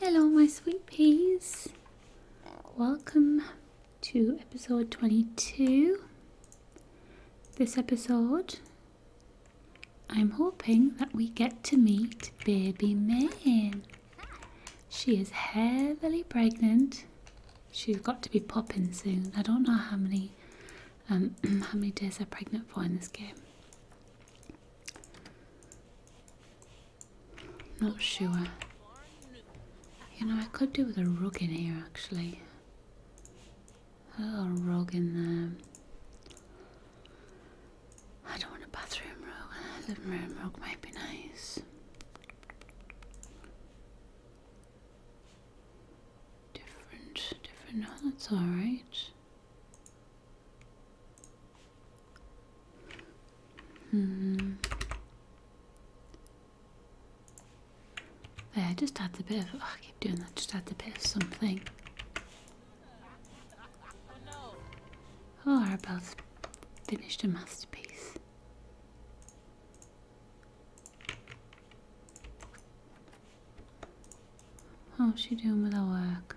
Hello, my sweet peas. Welcome to episode 22. This episode, I'm hoping that we get to meet baby Maine. She is heavily pregnant. She's got to be popping soon. I don't know how many um, how many days are pregnant for in this game. Not sure. You know, I could do with a rug in here actually. A little rug in there. I don't want a bathroom rug. A living room rug might be nice. Different, different. No, that's alright. Hmm. Yeah, I just had a bit of. Oh, keep doing that. Just had a bit of something. Oh, our about finished a masterpiece. How's she doing with her work?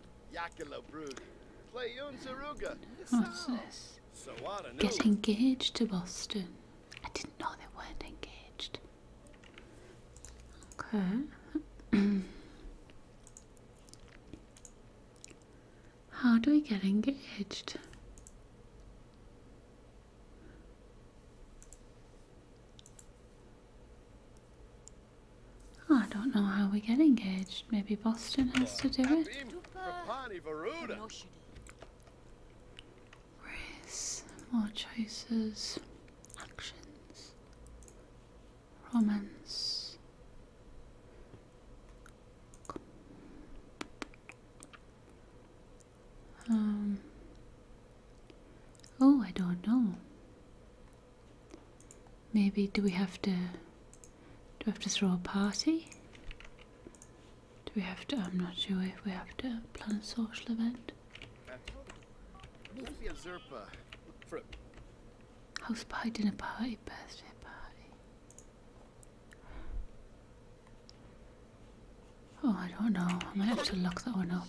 What's this? Get engaged to Boston. I didn't know they weren't engaged. Okay. How do we get engaged? Oh, I don't know how we get engaged. Maybe Boston has to do it. Race, more choices, actions, romance. Um. Oh, I don't know. Maybe do we have to do we have to throw a party? Do we have to I'm not sure if we have to plan a social event. House party, dinner party, birthday party. Oh, I don't know. I might have to lock that one up.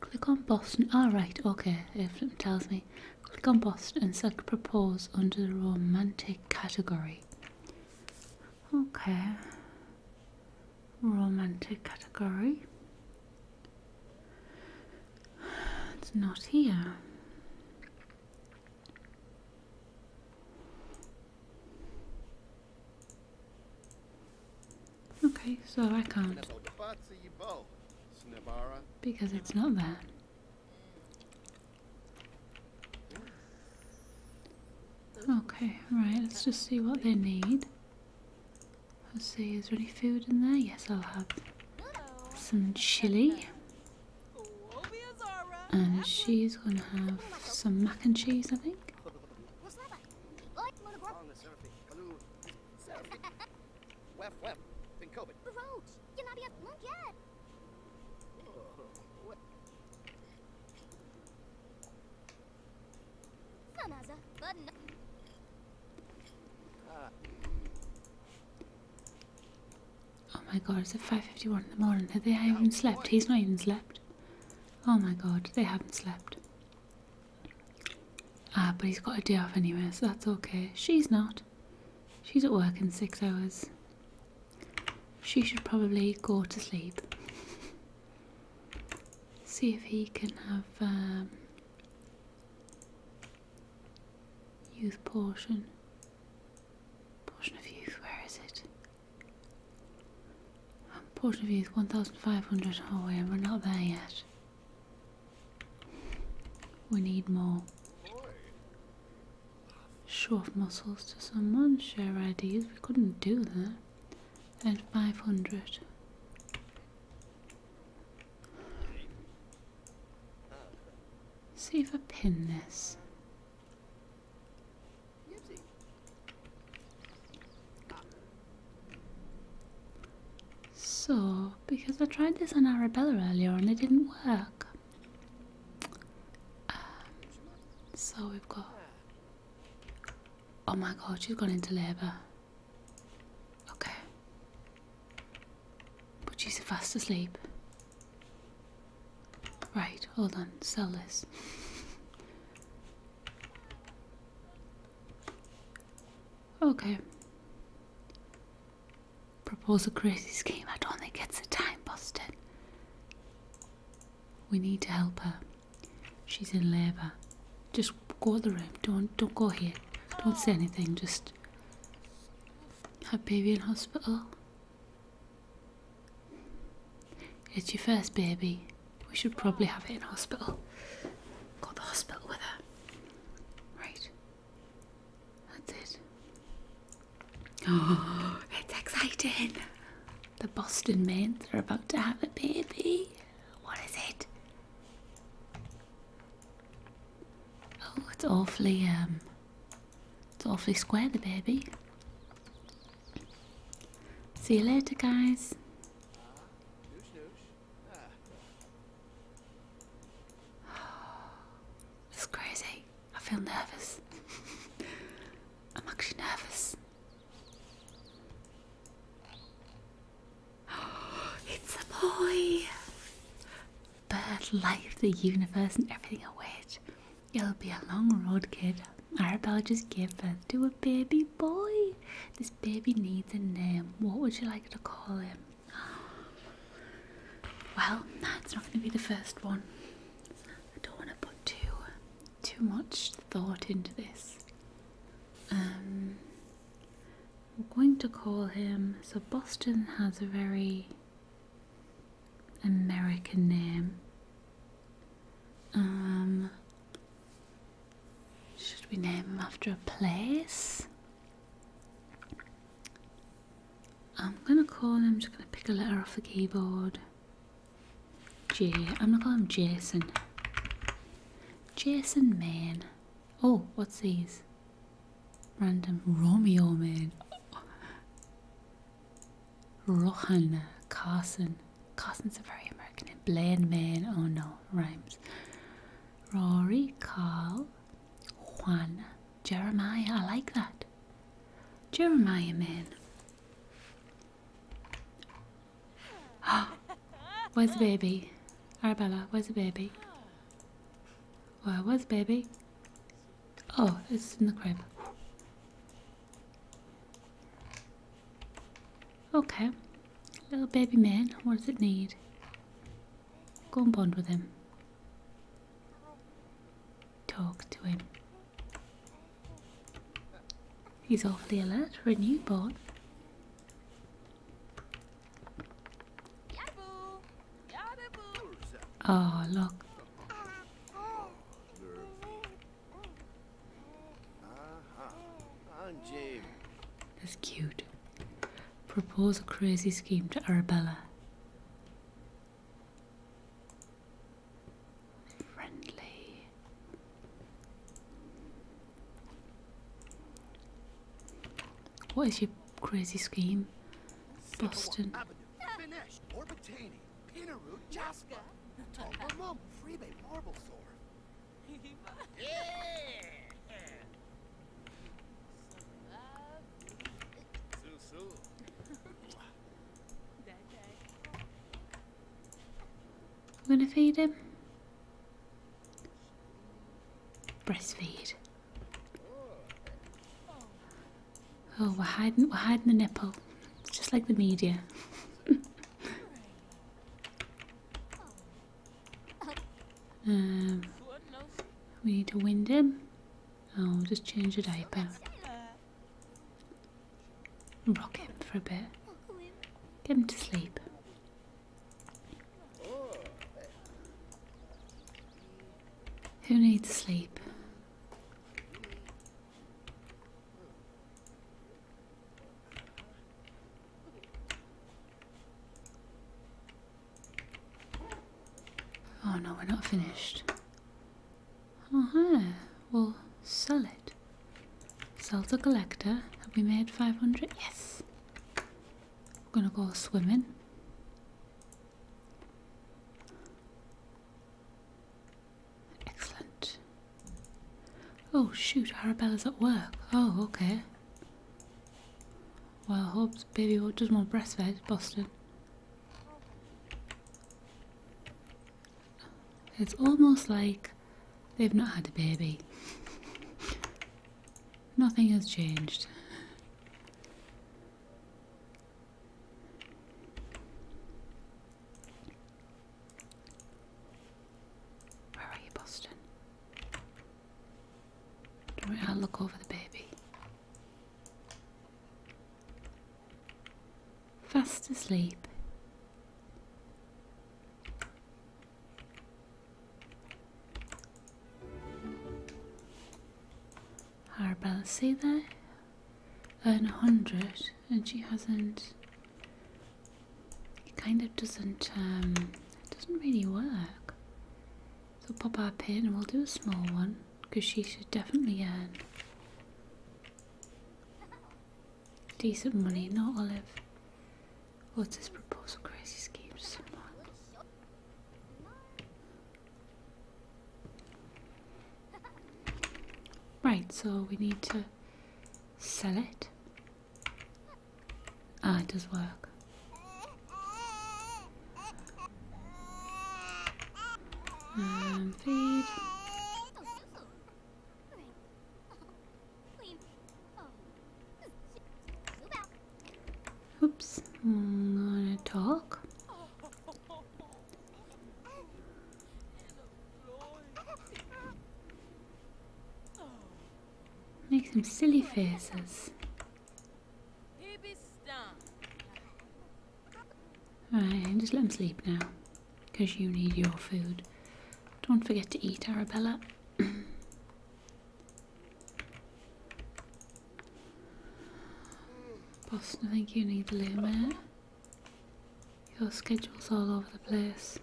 Click on Boston. All right, oh, right, okay. It tells me. Click on Boston and select Propose under the Romantic category. Okay. Romantic category. It's not here. Okay, so I can't. Because it's not there. Okay, right, let's just see what they need. Let's see, is there any food in there? Yes, I'll have some chili. And she's gonna have some mac and cheese, I think. Oh my god, it's at 5.51 in the morning. Have They haven't slept. He's not even slept. Oh my god, they haven't slept. Ah, but he's got a day off anyway, so that's okay. She's not. She's at work in six hours. She should probably go to sleep. See if he can have um, youth portion. Portion of youth, where is it? Um, portion of youth, 1,500. Oh, we We're not there yet. We need more. Show off muscles to someone, share ideas. We couldn't do that. And 500. See if I pin this. So, because I tried this on Arabella earlier and it didn't work. Um, so we've got. Oh my god, she's gone into labour. Okay. But she's fast asleep. Right, hold on, sell Okay. Propose a crazy scheme. I don't think it's a time, Boston. We need to help her. She's in labour. Just go to the room. Don't don't go here. Don't say anything. Just have baby in hospital. It's your first baby. We should probably have it in hospital. Got the hospital with her. Right. That's it. Oh, it's exciting. The Boston Mains are about to have a baby. What is it? Oh, it's awfully um it's awfully square the baby. See you later guys. This crazy. I feel nervous. I'm actually nervous. it's a boy! Bird life, the universe, and everything await. It'll be a long road, kid. Arabelle just gave birth to a baby boy. This baby needs a name. What would you like to call him? Well, that's not going to be the first one. I don't want to put too too much thought into this. Um, we're going to call him. So Boston has a very American name. Um, should we name him after a place? I'm gonna call him, I'm just gonna pick a letter off the keyboard. J, I'm gonna call him Jason. Jason Man. Oh, what's these? Random Romeo Man. Oh. Rohan Carson. Carson's a very American name. Bland Man. Oh no, rhymes. Rory, Carl, Juan, Jeremiah. I like that. Jeremiah man. Where's the baby? Arabella, where's the baby? Where was baby? Oh, it's in the crib. Okay. Little baby man, what does it need? Go and bond with him. Talk to him. He's awfully alert for a newborn. Oh, ah, look. That's cute. Propose a crazy scheme to Arabella. Friendly. What is your crazy scheme? Boston. I'm gonna feed him. Breastfeed. Oh, we're hiding, we're hiding the nipple, just like the media. Um, we need to wind him. I'll just change the diaper. Rock him for a bit. Get him to sleep. Who needs sleep? Oh no, we're not finished. Oh, yeah. We'll sell it. Sell to collector. Have we made 500? Yes! We're gonna go swimming. Excellent. Oh shoot, Arabella's at work. Oh, okay. Well, Hobbs, baby what does more breastfed, Boston. It's almost like they've not had a baby. Nothing has changed. Where are you, Boston? I'll look over the baby. Fast asleep. Arabella, see there? Earn a hundred and she hasn't, it kind of doesn't, um, it doesn't really work. So pop our pin and we'll do a small one because she should definitely earn decent money, not Olive. What's this proposal crazy scheme? Someone. Right, so we need to sell it. Ah, it does work. Um, feed. Oops, i to talk. Make some silly faces. Right, just let them sleep now. Because you need your food. Don't forget to eat, Arabella. Boston, I think you need the loo, Your schedule's all over the place.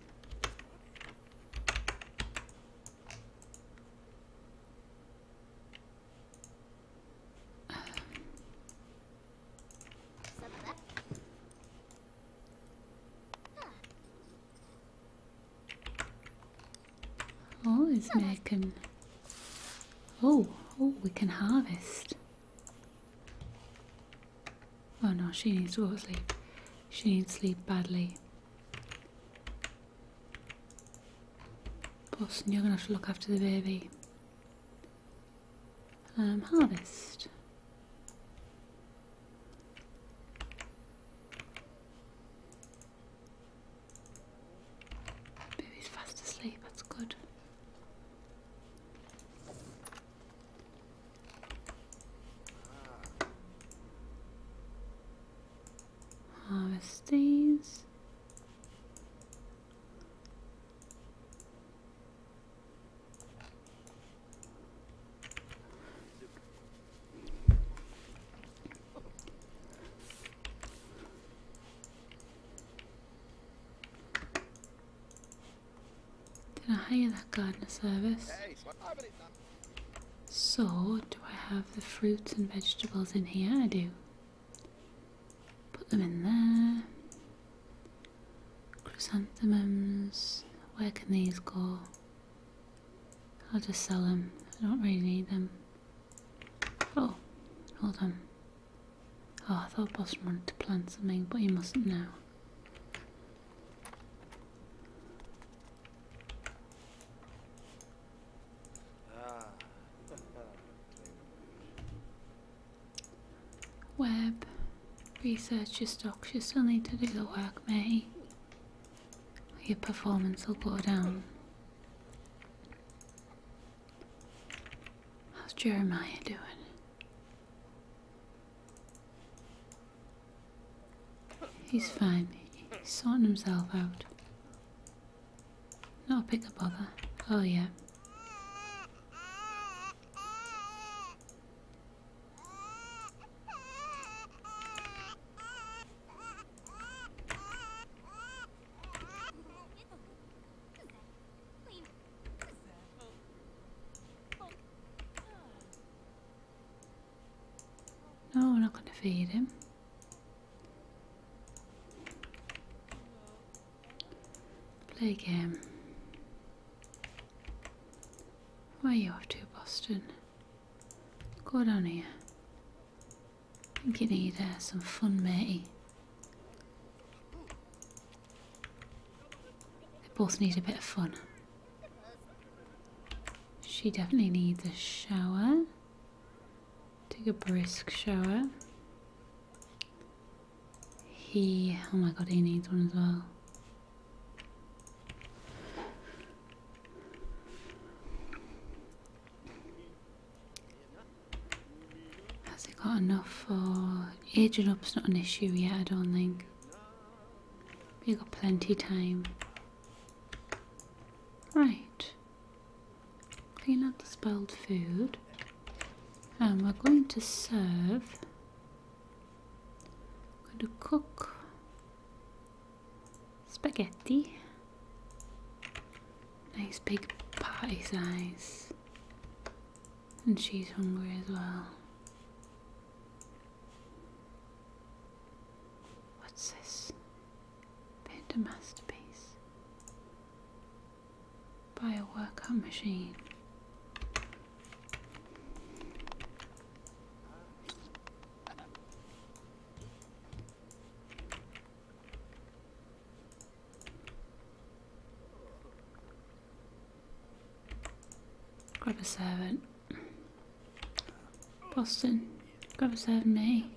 Oh, it's making. Oh, oh, we can harvest. Oh no, she needs to go to sleep. She needs sleep badly. Boston, you're going to have to look after the baby. Um, harvest. Baby's fast asleep, that's good harvest these. Did I hire that gardener service? So, do I have the fruits and vegetables in here? I do. Put them in there. Chrysanthemums. Where can these go? I'll just sell them. I don't really need them. Oh, hold on. Oh, I thought Boss wanted to plant something, but he mustn't now. Ah. Web. Research your stocks, you still need to do the work, mate. Your performance will go down. How's Jeremiah doing? He's fine. He's sorting himself out. Not a pick up bother. Oh yeah. No, we're not going to feed him. Play game. Why are you off to, Boston? Go down here. I think you need uh, some fun, matey. They both need a bit of fun. She definitely needs a shower. Take a brisk shower. He, oh my god, he needs one as well. Has it got enough for aging up's not an issue yet, I don't think. You've got plenty time. Right. Clean up the spoiled food. And um, we're going to serve. going to cook spaghetti. Nice big party size. And she's hungry as well. What's this? paint a masterpiece. Buy a workout machine. Grab a servant. Boston, grab a servant, me.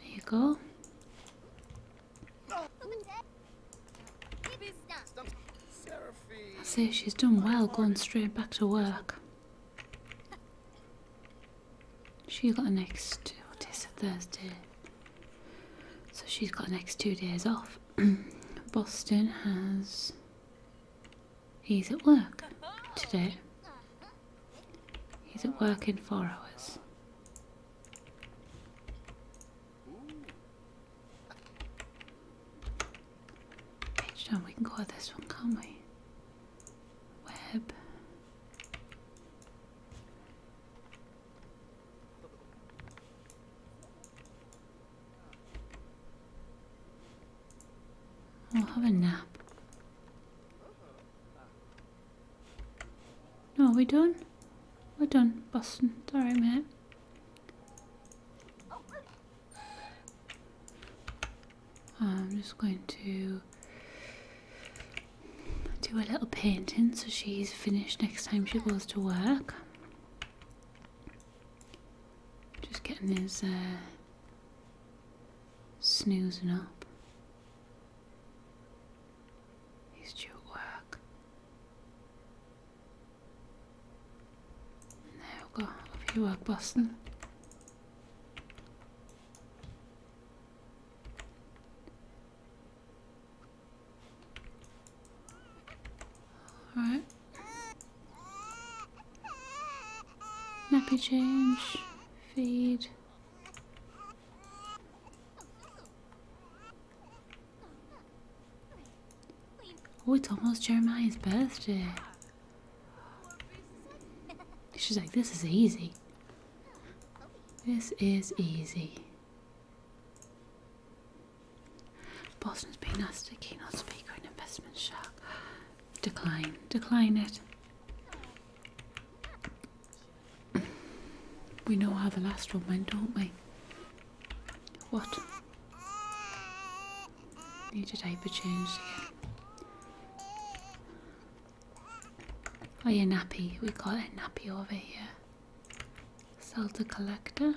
There you go. That's it, she's done well going straight back to work. She got the next, what is it, Thursday? So she's got the next two days off. Boston has He's at work today. He's at work in four hours. Page we can go at this one, can't we? Web. We'll have a nap. No, are we done? We're done, Boston. Sorry, alright, mate. I'm just going to do a little painting so she's finished next time she goes to work. Just getting these uh, snoozing up. He's due at work. Now we've got a few work busting. Alright. Nappy change, feed. Oh, it's almost Jeremiah's birthday. She's like, this is easy. This is easy. Boston's been asked to keynote speaker in investment shark. Decline. Decline it. We know how the last one went, don't we? What? Need a diaper change again. Oh yeah, nappy. We call it nappy over here. Sell collector.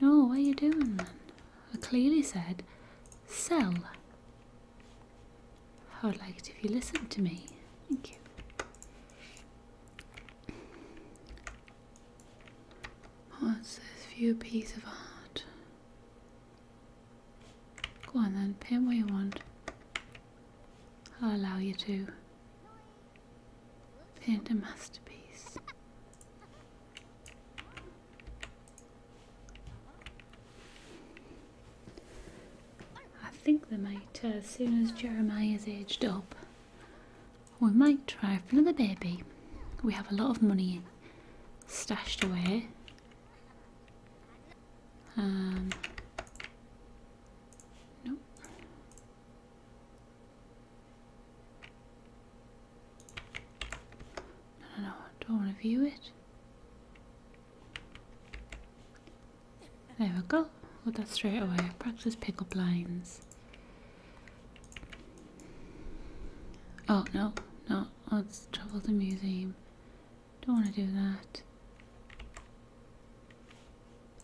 No, what are you doing then? I clearly said sell. I would like it if you listened to me. Thank you. What's this view piece of art? Go on then, paint what you want. I'll allow you to paint a masterpiece. I think they might, uh, as soon as Jeremiah is aged up, we might try for another baby. We have a lot of money stashed away. Um, Nope. No, no, Don't want to view it. There we go. Got that straight away. Practice pick up lines. Oh, no, no. let oh, trouble. the museum. Don't want to do that.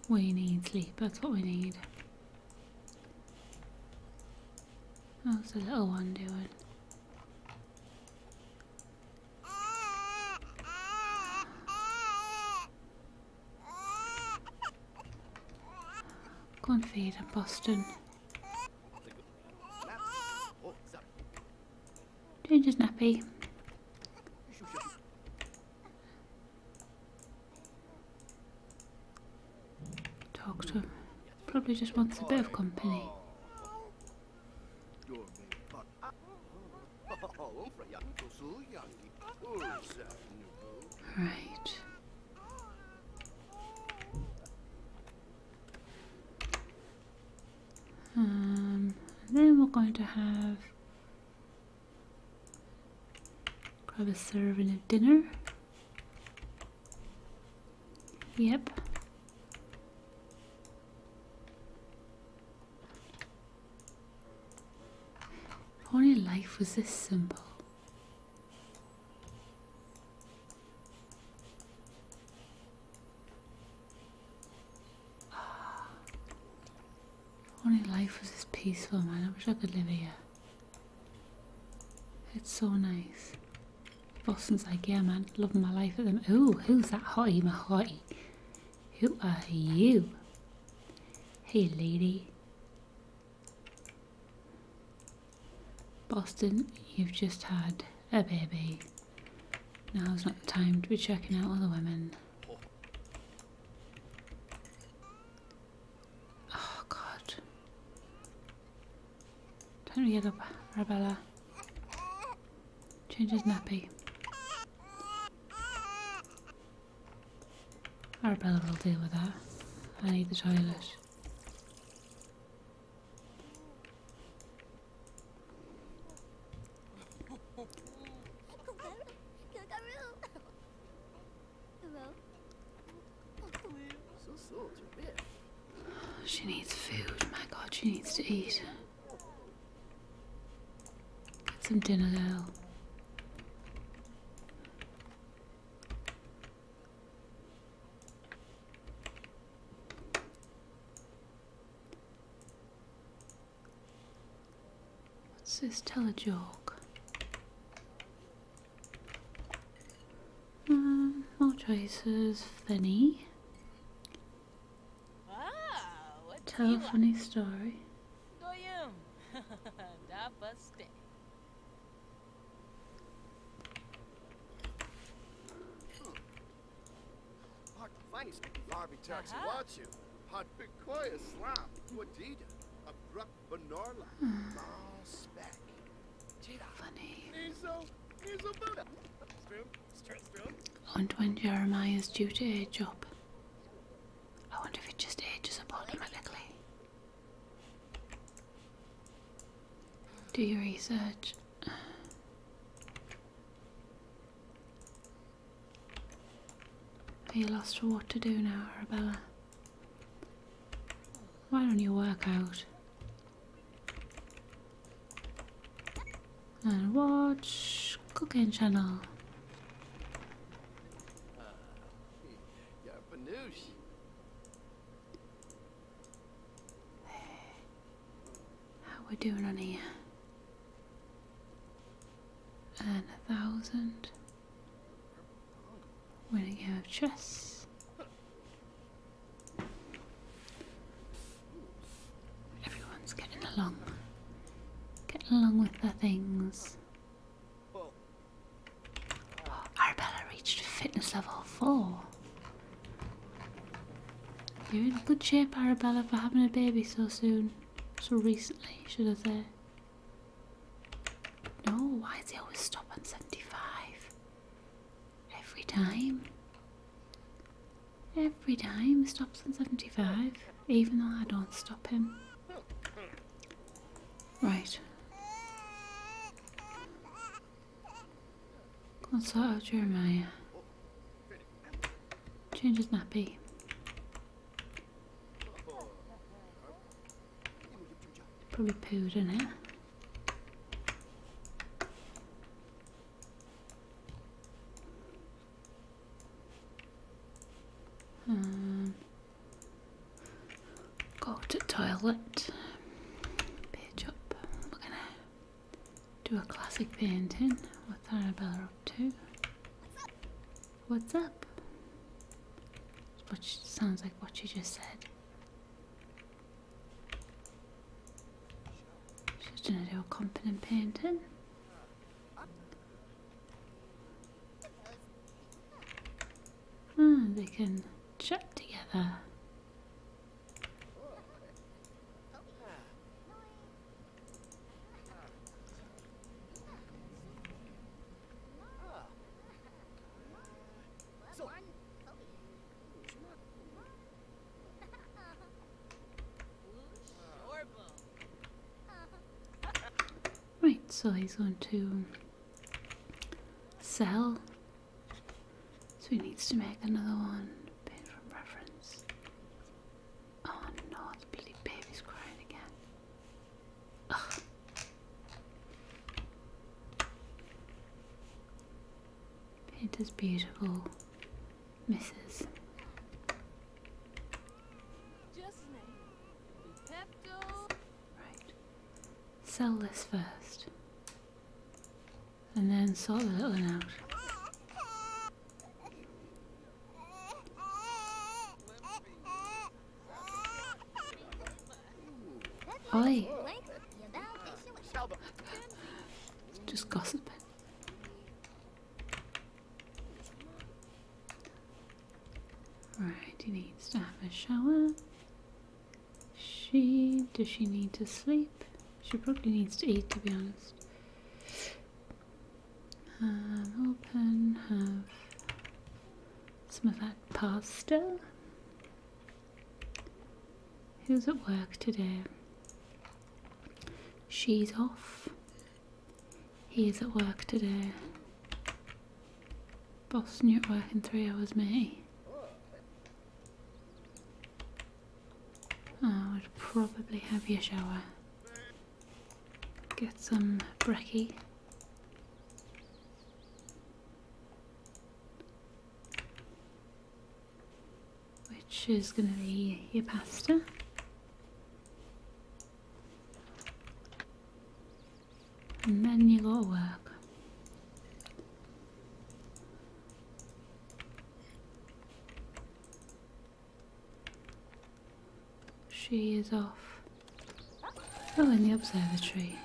We need sleep, that's what we need. How's the little one doing? Go and feed him, Boston. Change his nappy. Doctor probably just wants a bit of company. Right. Um, then we're going to have Grab a serving of dinner. Yep. only life was this simple. If only life was this peaceful, man. I wish I could live here. It's so nice. Boston's like, yeah, man, loving my life at them. Oh, who's that hottie, my hottie? Who are you? Hey, lady. Boston, you've just had a baby. Now's not the time to be checking out other women. Oh God. Time to get up, Arabella. Change his nappy. Arabella will deal with that. I need the toilet. She needs food. My god, she needs to eat. Get some dinner, girl. What's this? Hmm, Tell a joke. Um, more choices. Funny. Wow, Tell a funny story. But Picoya Slop, Guadida, Abrupt Banorla, Mall hmm. Spec. Funny. I wonder when Jeremiah's due to age up. I wonder if it just ages up automatically. Do your research. Are you lost for what to do now, Arabella? Why don't you work out? And watch cooking channel. How we doing on here? And a thousand. When you have chess. Everyone's getting along. Getting along with their things. Oh, Arabella reached fitness level 4. You're in good shape, Arabella, for having a baby so soon. So recently, should I say. No, why does he always stop on 75? Every time. Every time he stops on 75, even though I don't stop him. Right. Let's Jeremiah. Uh, Change his nappy. Probably pooed in it. Um, Got a toilet. Pitch up. We're gonna do a classic painting. with Arabella up to? What's up? What sounds like what she just said. She's gonna do a confident painting. Hmm, they can chat together. Right, so he's going to sell. So he needs to make another one. Oh no, bloody baby's crying again. It is beautiful Missus. Right. Sell this first. And then sort the little one out. Oi. Just gossiping. Right, he needs to have a shower. She, does she need to sleep? She probably needs to eat to be honest. Have open, have some of that pasta. Who's at work today? She's off. He is at work today. Boss new at work in three hours, mate. I would probably have your shower. Get some brekkie. Which is going to be your pasta. And then you got work. She is off. Oh, in the observatory.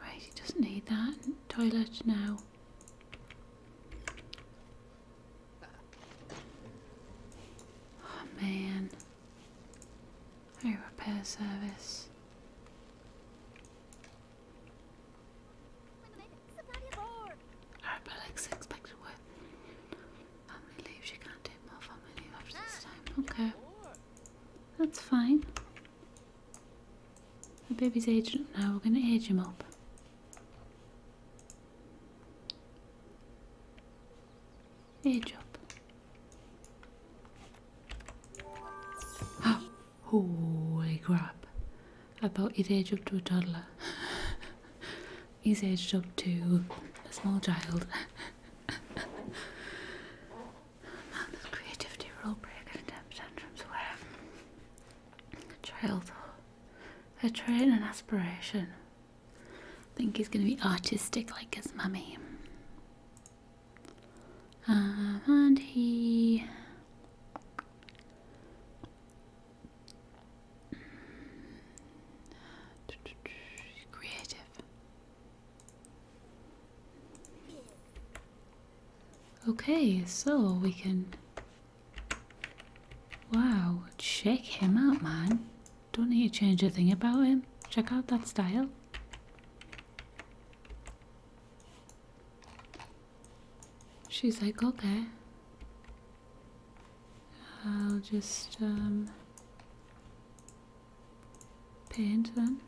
Right, he doesn't need that. Toilet now. Oh man. Hey, repair service. Her Alex expected what? Family She can't take more family leave after this time. Okay. That's fine. The baby's aged up now. We're going to age him up. Age up. Holy crap about his age up to a toddler, his age up to a small child. Man, this creativity child her train and aspiration. I think he's gonna be artistic like his mummy. Um, and he Creative. Okay, so we can. Wow, check him out, man. Don't need to change a thing about him. Check out that style. She's like, okay. I'll just um, paint then.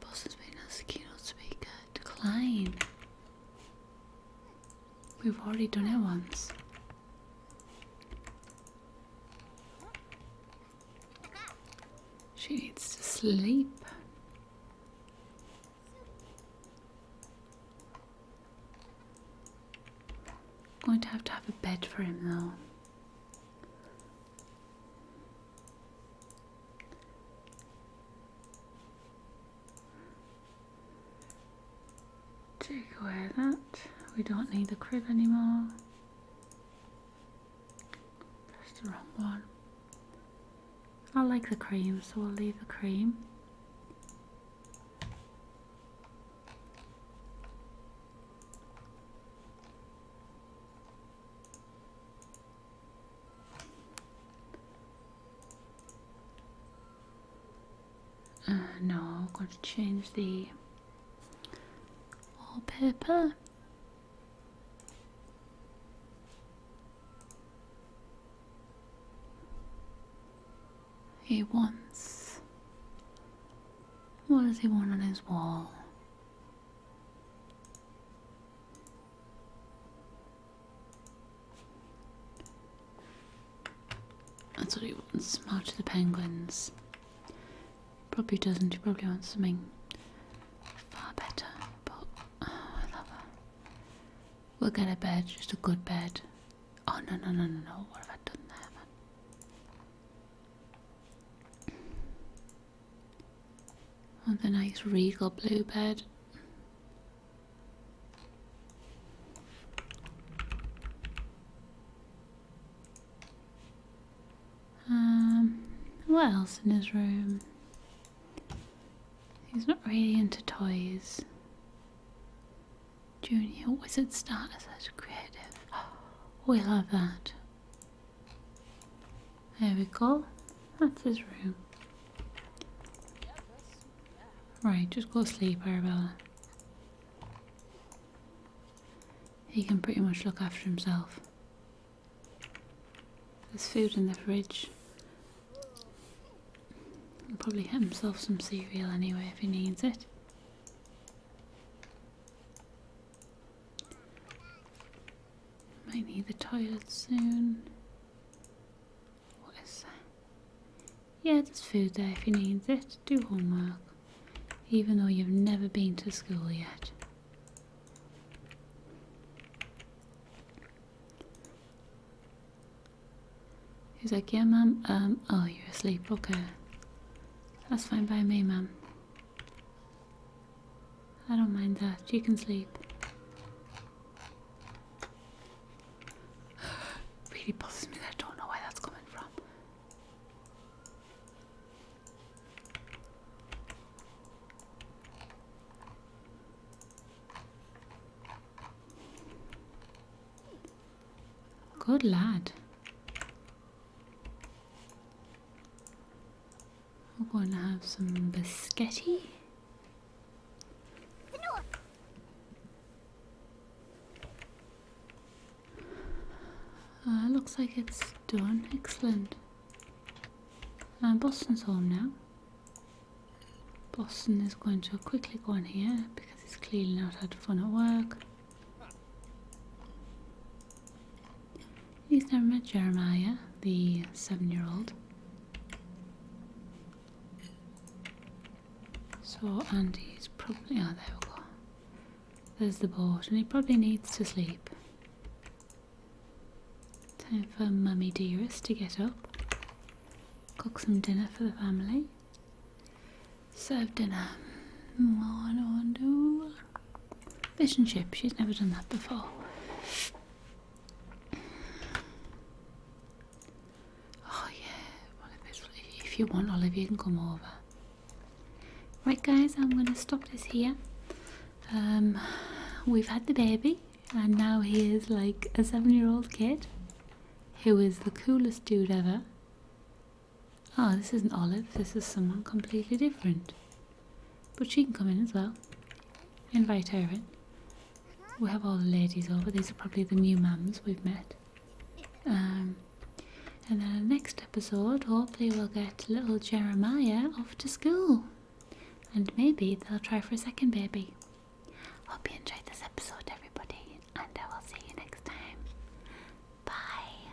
Boss has been as a keynote speaker. Decline. We've already done it once. She needs to sleep. I'm going to have to have a bed for him though. Take away that. We don't need the crib anymore. That's the wrong one. I like the cream, so I'll leave the cream. Uh, no, I'm going to change the Wallpaper. He wants. What does he want on his wall? That's what he wants. Match of the Penguins. Probably doesn't. She probably wants something far better. But I love her. We'll get a bed, just a good bed. Oh no no no no no! What have I done there, man? Want oh, the nice regal blue bed. Um, what else in his room? He's not really into toys. Junior wizard starter such creative. We oh, love that. There we go. That's his room. Right, just go to sleep, Arabella. He can pretty much look after himself. There's food in the fridge. He'll probably get himself some cereal anyway if he needs it. Might need the toilet soon. What is that? Yeah, there's food there if he needs it. Do homework. Even though you've never been to school yet. He's like, yeah, ma'am. Um, oh, you're asleep. Okay. That's fine by me, ma'am. I don't mind that. You can sleep. really bothers me that I don't know where that's coming from. Good lad. We're going to have some biscotti. Uh, looks like it's done. Excellent. Um, Boston's home now. Boston is going to quickly go in here because he's clearly not had fun at work. He's never met Jeremiah, the seven-year-old. So Andy is probably... out oh, there we go. There's the board, and he probably needs to sleep. Time for Mummy Dearest to get up, cook some dinner for the family, serve dinner. One, one, Fish and chips. she's never done that before. Oh, yeah, well, if, if you want Olive, you can come over. Right guys, I'm going to stop this here. Um, we've had the baby and now he is like a seven year old kid who is the coolest dude ever. Oh, this isn't Olive, this is someone completely different. But she can come in as well. Invite her in. We have all the ladies over, these are probably the new mums we've met. Um, and then the next episode, hopefully, we'll get little Jeremiah off to school. And maybe they'll try for a second baby. Hope you enjoyed this episode, everybody, and I will see you next time. Bye.